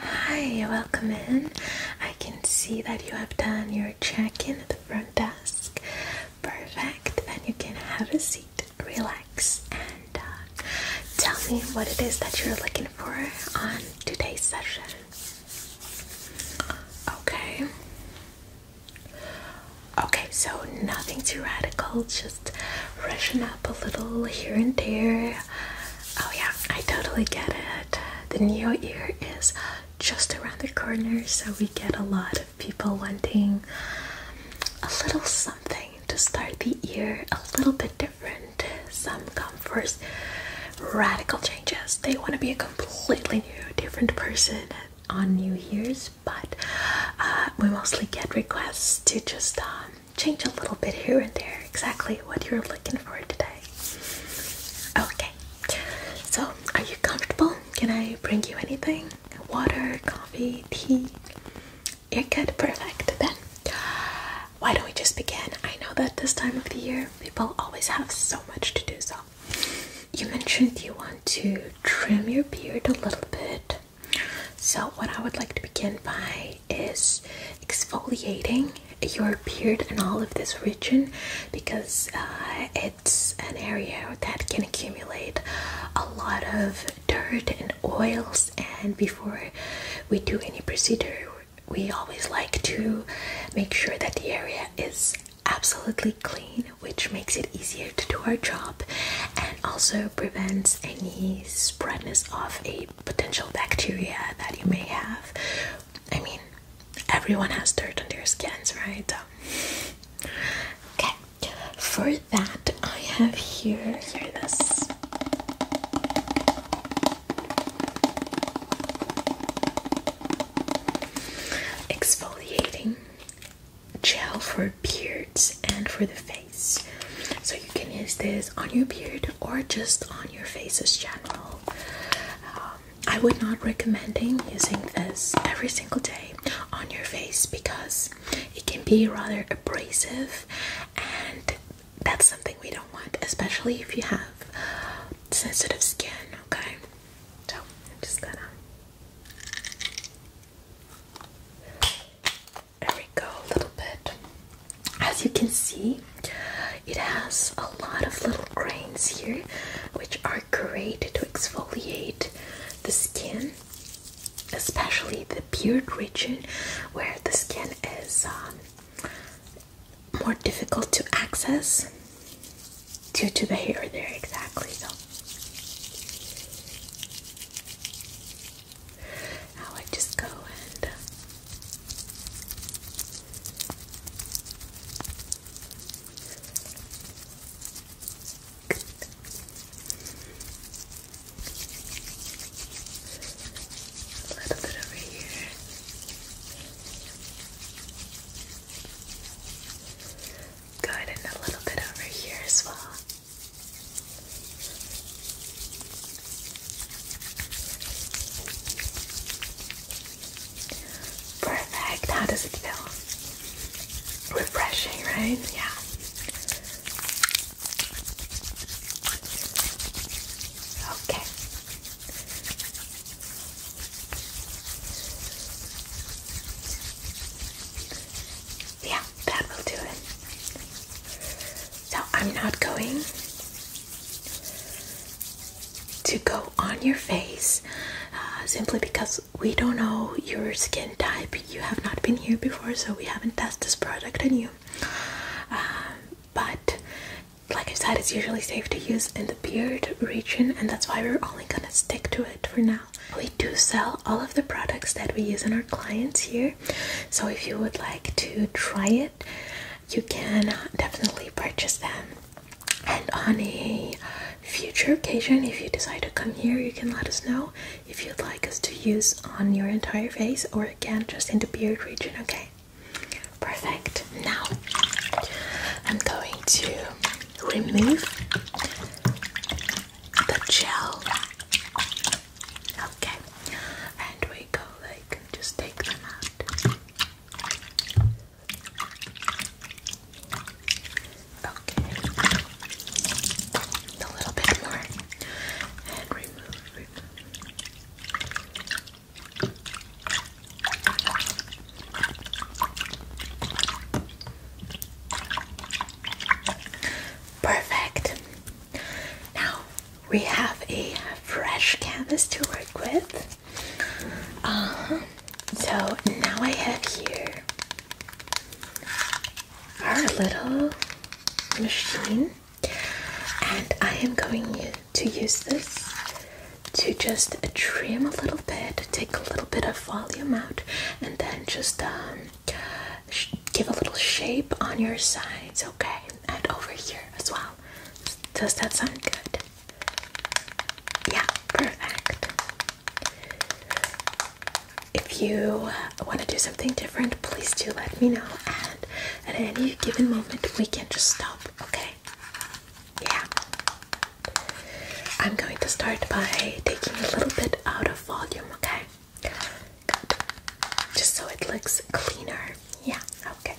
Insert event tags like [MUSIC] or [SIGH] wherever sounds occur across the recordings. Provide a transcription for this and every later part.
Hi, welcome in. I can see that you have done your check in at the front desk. Perfect. and you can have a seat, relax, and uh, tell me what it is that you're looking for on today's session. Okay. Okay, so nothing too radical, just freshen up a little here and there. Oh, yeah, I totally get it. The new year is just around the corner, so we get a lot of people wanting a little something to start the year a little bit different. Some come first radical changes, they want to be a completely new, different person on New Year's, but uh, we mostly get requests to just um, change a little bit here and there exactly what you're looking for today. Okay, so are you comfortable? Can I bring you anything? Water, coffee, tea? You're good, perfect. Then why don't we just begin? I know that this time of the year people always have so much to do, so you mentioned you want to trim your beard a little bit. So, what I would like to begin by is exfoliating your beard and all of this region because uh, it's an area that can accumulate a lot of dirt and oils and before we do any procedure we always like to make sure that the area is absolutely clean which makes it easier to do our job and also prevents any spreadness of a potential bacteria that you may have. I mean, everyone has dirt on their skins, right? Um, okay, for that, I have here, here this. Exfoliating gel for beards and for the face. So you can use this on your beard or just on your face as general. Um, I would not recommending using this every single day on your face because it can be rather abrasive and that's something we don't want, especially if you have sensitive skin, okay? So I'm just gonna there we go, a little bit. As you can see, it has a lot of little grains here, which are great to exfoliate the skin, especially the beard region where the skin is um, more difficult to access due to the hair there, exactly. So how I just go and a uh, little bit over here. Good, and a little bit over here as well. Perfect. How does it feel? Refreshing, right? Yeah. Okay. Yeah, that will do it. So I'm not going to go on your face uh, simply because we don't know your skin type. You have not been here before, so we haven't tested this product on you. Um, but like I said, it's usually safe to use in the beard region, and that's why we're only gonna stick to it for now. We do sell all of the products that we use on our clients here. So if you would like to try it, you can definitely purchase them. And on a future occasion, if you decide to come here, you can let us know if you'd like us to use on your entire face or again just in the beard region, okay? Perfect. Now I'm going to remove the gel Okay, and we go like just take them out. Okay, a little bit more, and remove, remove. Perfect. Now we have a fresh canvas to work with. Uh-huh. So now I have here our little machine, and I am going to use this to just trim a little bit, take a little bit of volume out, and then just um, give a little shape on your sides, okay? And over here as well. Does that sound good? Yeah, perfect. If you want to do something different, please do let me know. And at any given moment, we can just stop, okay? Yeah. I'm going to start by taking a little bit out of volume, okay? Just so it looks cleaner. Yeah, okay.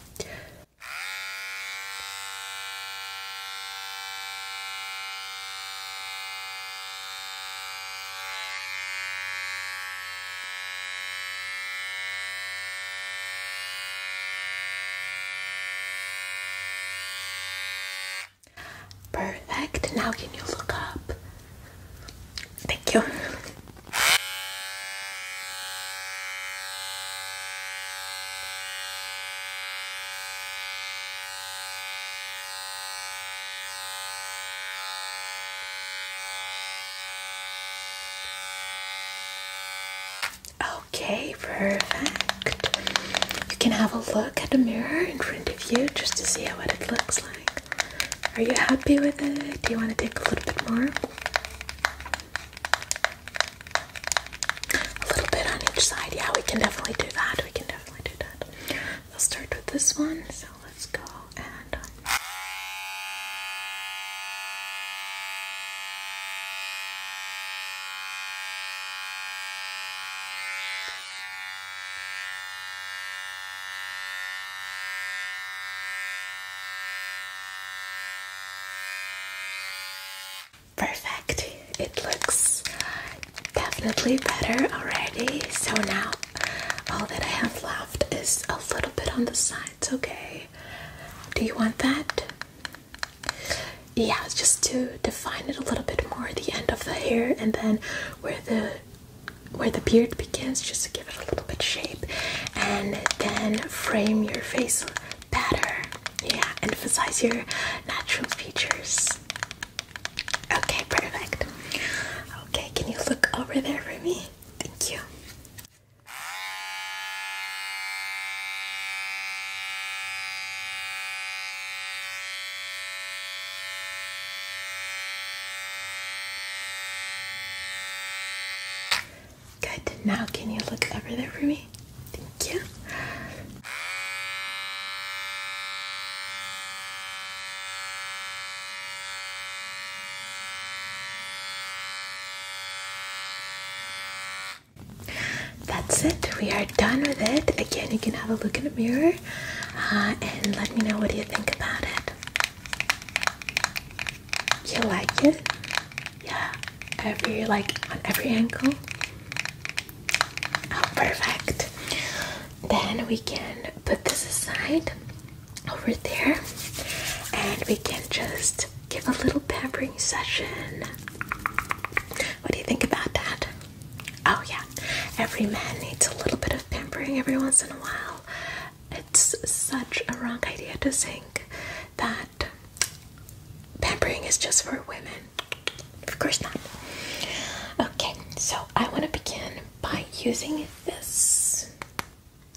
Perfect. Now can you look up? Thank you. Okay, perfect. You can have a look at the mirror in front of you just to see how it looks like. Are you happy with it? Do you want to take a little bit more? A little bit on each side. Yeah, we can definitely do that. We can definitely do that. We'll start with this one. So let's go and. Um, Perfect. It looks definitely better already. So now all that I have left is a little bit on the sides, okay? Do you want that? Yeah, just to define it a little bit more at the end of the hair and then where the where the beard begins just to give it a little bit shape and then frame your face better yeah emphasize your natural features okay perfect okay can you look over there for me thank you Good. Now, can you look over there for me? Thank you. That's it. We are done with it. Again, you can have a look in the mirror uh, and let me know what you think about it. You like it? Yeah, every like on every ankle. Oh, perfect. Then we can put this aside over there and we can just give a little pampering session. What do you think about that? Oh, yeah, every man needs a little bit of pampering every once in a while it's such a wrong idea to think that pampering is just for women. Of course not. Okay, so I want to begin by using this.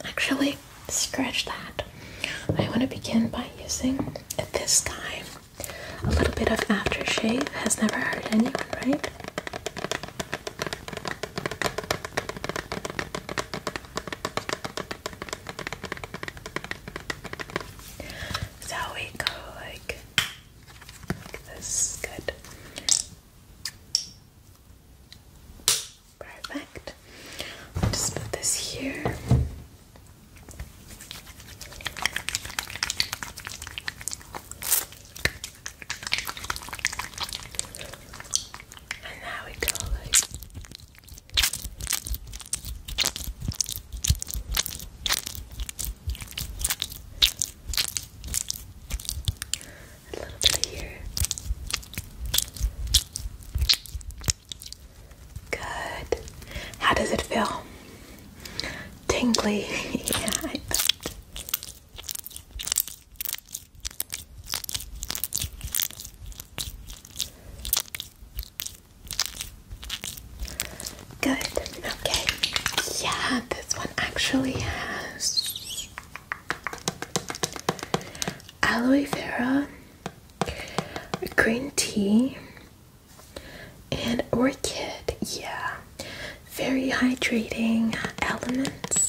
Actually, scratch that. I want to begin by using this time. A little bit of aftershave has never hurt anyone, right? So we go like, this is Good. Perfect. just put this here. And now we go a little bit here. Good. How does it feel? Tingly. [LAUGHS] yeah, Good, okay. Yeah, this one actually has aloe vera, green tea, and orchid. Yeah, very hydrating elements.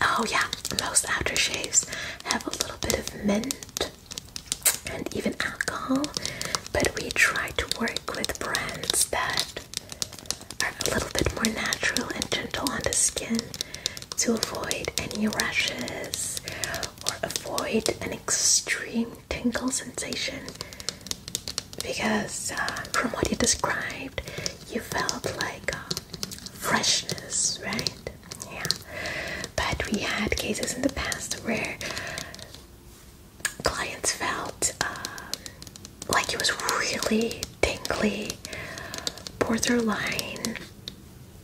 Oh, yeah, most aftershaves have a little bit of mint and even alcohol, but we try to work with brands that are a little bit more natural and gentle on the skin to avoid any rashes or avoid an extreme tingle sensation because uh, from what you described, you felt like uh, freshness, right? Yeah. But we had cases in the past where clients felt um, like it was really tingly, borderline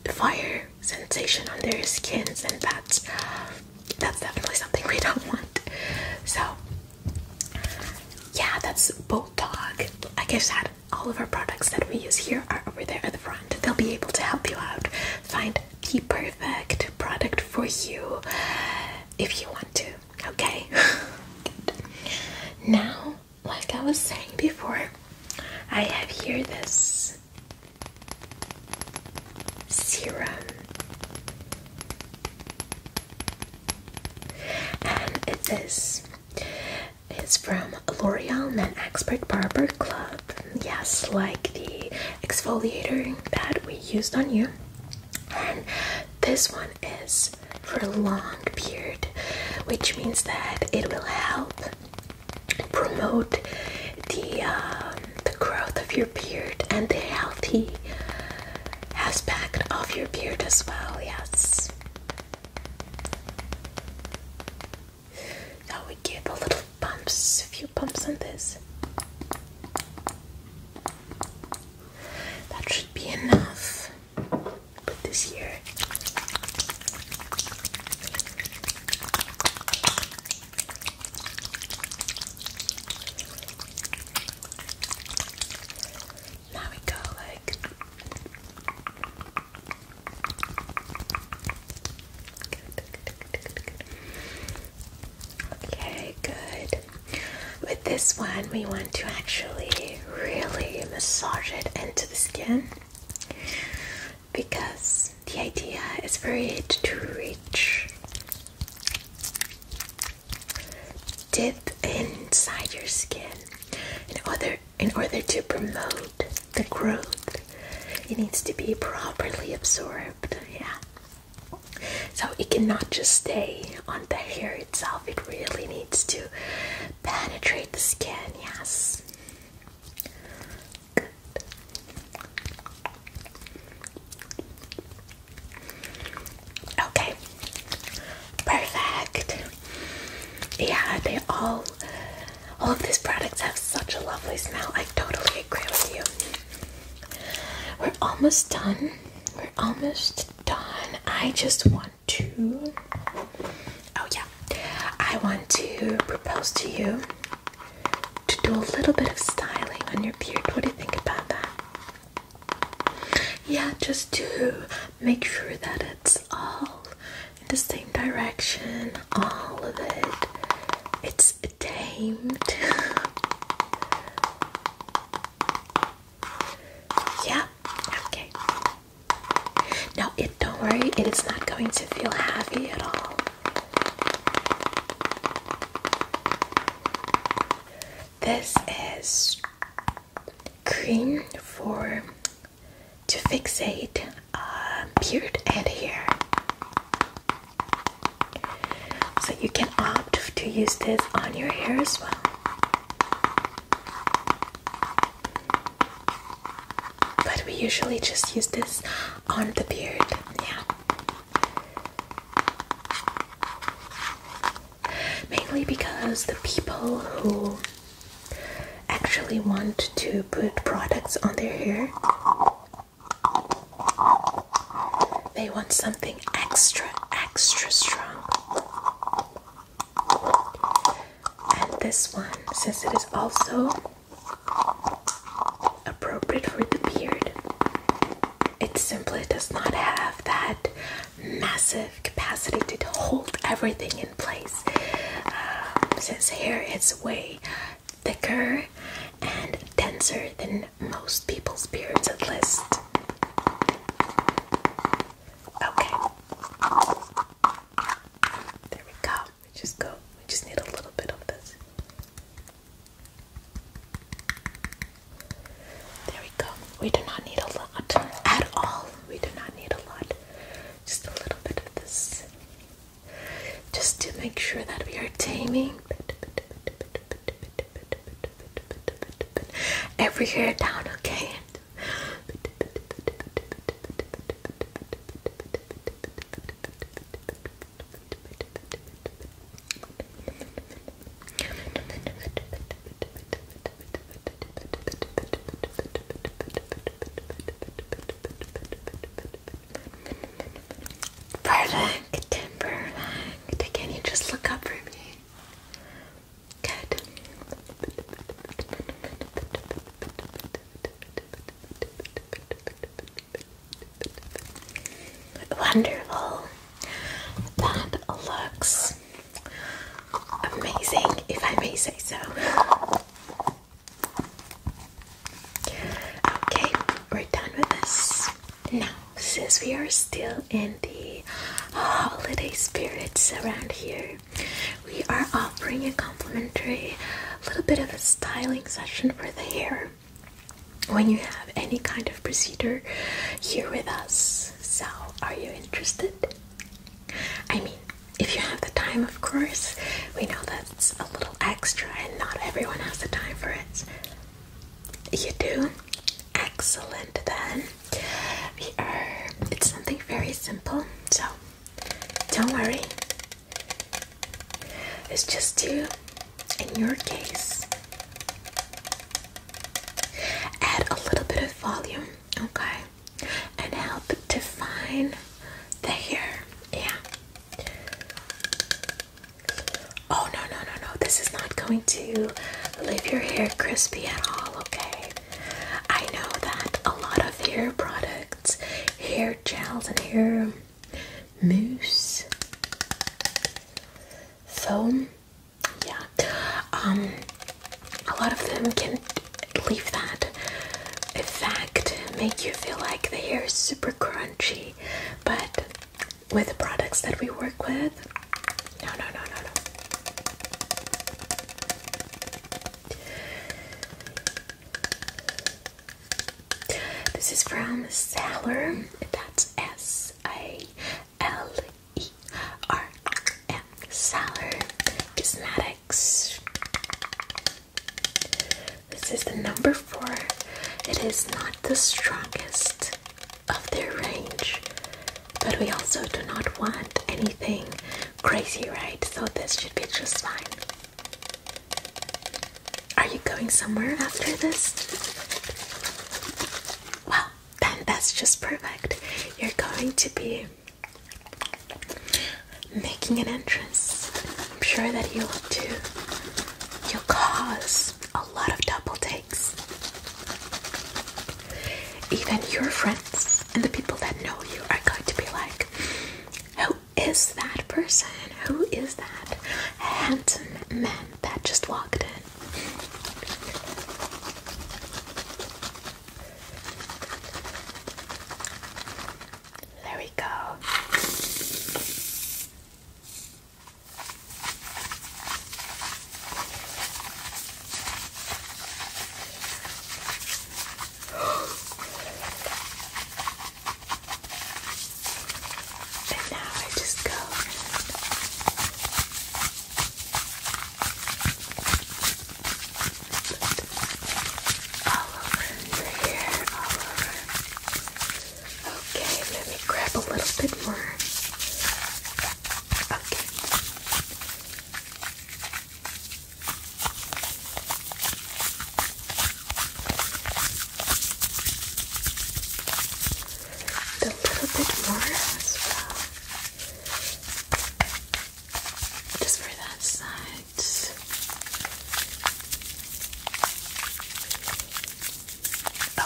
fire sensation on their skins, and that's that's definitely something we don't want. So yeah, that's Bulldog. Like I that all of our products that we use here are over there at the front. They'll be able to help you out, find the perfect product for you if you want to. Okay. [LAUGHS] Now, like I was saying before, I have here this serum. And it is it's from L'Oreal Men Expert Barber Club. Yes, like the exfoliator that we used on you. And this one is for long beard, which means that it will help promote the um, the growth of your beard and the healthy aspect of your beard as well. Yes. Now we give a little bumps, a few bumps on this. That should be enough. Put this here. Now we go like Okay, good. With this one, we want to actually really massage it into the skin because the idea is for it to reach dip inside your skin in order in order to promote the growth it needs to be properly absorbed yeah so it cannot just stay on the hair itself it really needs to penetrate the skin yes Okay, perfect. Yeah, they all, all of these products have such a lovely smell. I totally agree with you. We're almost done. We're almost done. I just want to. Oh yeah, I want to propose to you to do a little bit of styling on your beard. What do you think about that? Yeah, just to make sure that it's all in the same direction, all of it. It's tamed. [LAUGHS] yeah, okay. Now, it don't worry, it is not going to feel heavy at all. This is cream for to fixate uh, beard and hair. So you can opt to use this on your hair as well. But we usually just use this on the beard, yeah. Mainly because the people who actually want to put products on their hair they want something extra extra strong and this one since it is also appropriate for the beard it simply does not have that massive capacity to hold everything in place. Um, since here it's way thicker and denser than most people's beards, at least. Okay. There we go. We just go. We just need a little bit of this. There we go. We do not need a lot at all. We do not need a lot. Just a little bit of this. Just to make sure that we are taming every hair down, okay? Perfect, perfect. Can you just look up for me? Good. Wonderful. That looks amazing, if I may say so. Okay, we're done with this. Now, since we are still in the holiday spirits around here, we are offering a complimentary little bit of a styling session for the hair when you have any kind of procedure here with us. So, are you interested? I mean, if you have the time, of course. We know that's a little extra and not everyone has the time for it. You do? Excellent then. We are it's something very simple, so don't worry. It's just you in your case. Add a little bit of volume, okay, and help define the hair. Yeah. Oh, no, no, no, no. This is not going to leave your hair crispy at all, okay? I know that a lot of hair products, hair gels, and hair mousse, So, Yeah, um, a lot of them can leave that effect, make you feel like the hair is super crunchy, but with the products that we work with, no, no, no, no, no. This is from Sailor. That's S A L E R. Sailor Cosmetics. This is the number four. It is not the strongest of their range, but we also do not want anything crazy, right? So this should be just fine. Are you going somewhere after this? Well, then that's just perfect. You're going to be making an entrance. I'm sure that you'll do. You'll cause a lot of double takes. Even your friends and the people that know you are going to be like, Who is that person? Who is that handsome man that just walked in? There we go. And now I just go all over the Okay, let me grab a little bit more. Okay a little bit more as well. Just for that side.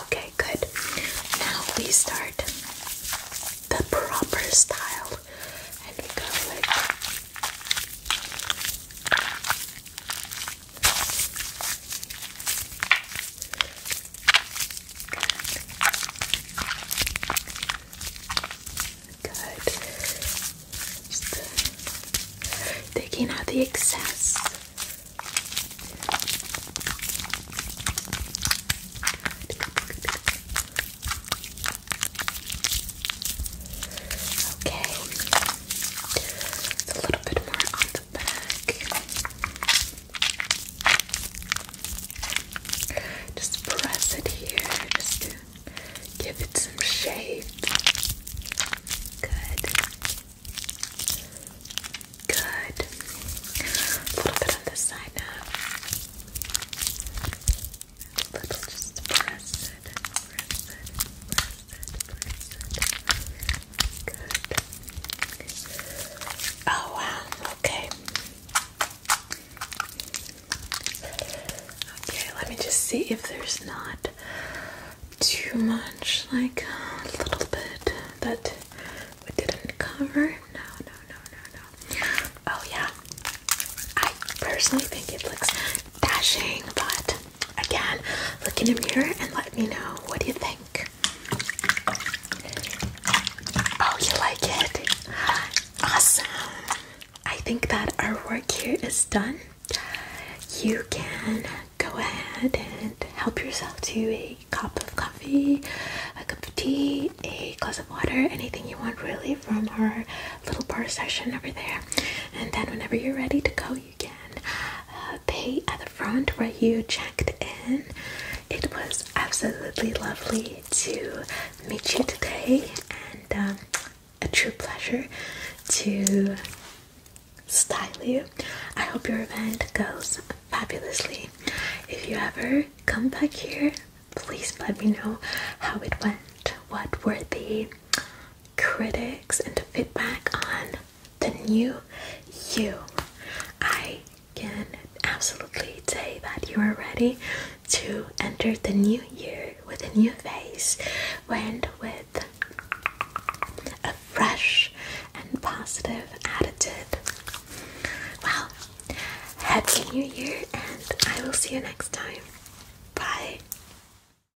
Okay, good. Now we start the proper style and we go with Good. Just uh, taking out the excess. Okay a little bit more on the back. Just press it here just to give it some shape. Good. Good. A little bit on this side now. little just press it, press it, press Oh wow, okay. Okay, let me just see if there's not too much, like a little bit that we didn't cover. No, no, no, no, no. Oh yeah. I personally think it looks dashing, but Again, look in the mirror and let me know what do you think. Oh, you like it? Awesome. I think that our work here is done. You can go ahead and help yourself to a cup of coffee, a cup of tea, a glass of water, anything you want really from our little bar section over there. And then whenever you're ready to go, you can uh, pay at the front where you checked in. It was absolutely lovely to meet you today, and um, a true pleasure to style you. I hope your event goes fabulously. If you ever come back here, please let me know how it went. What were the critics and to feedback on the new you. I can absolutely say that you are ready to enter the new year with a new face and with a fresh and positive attitude. Well, happy new year, and I will see you next time. Bye.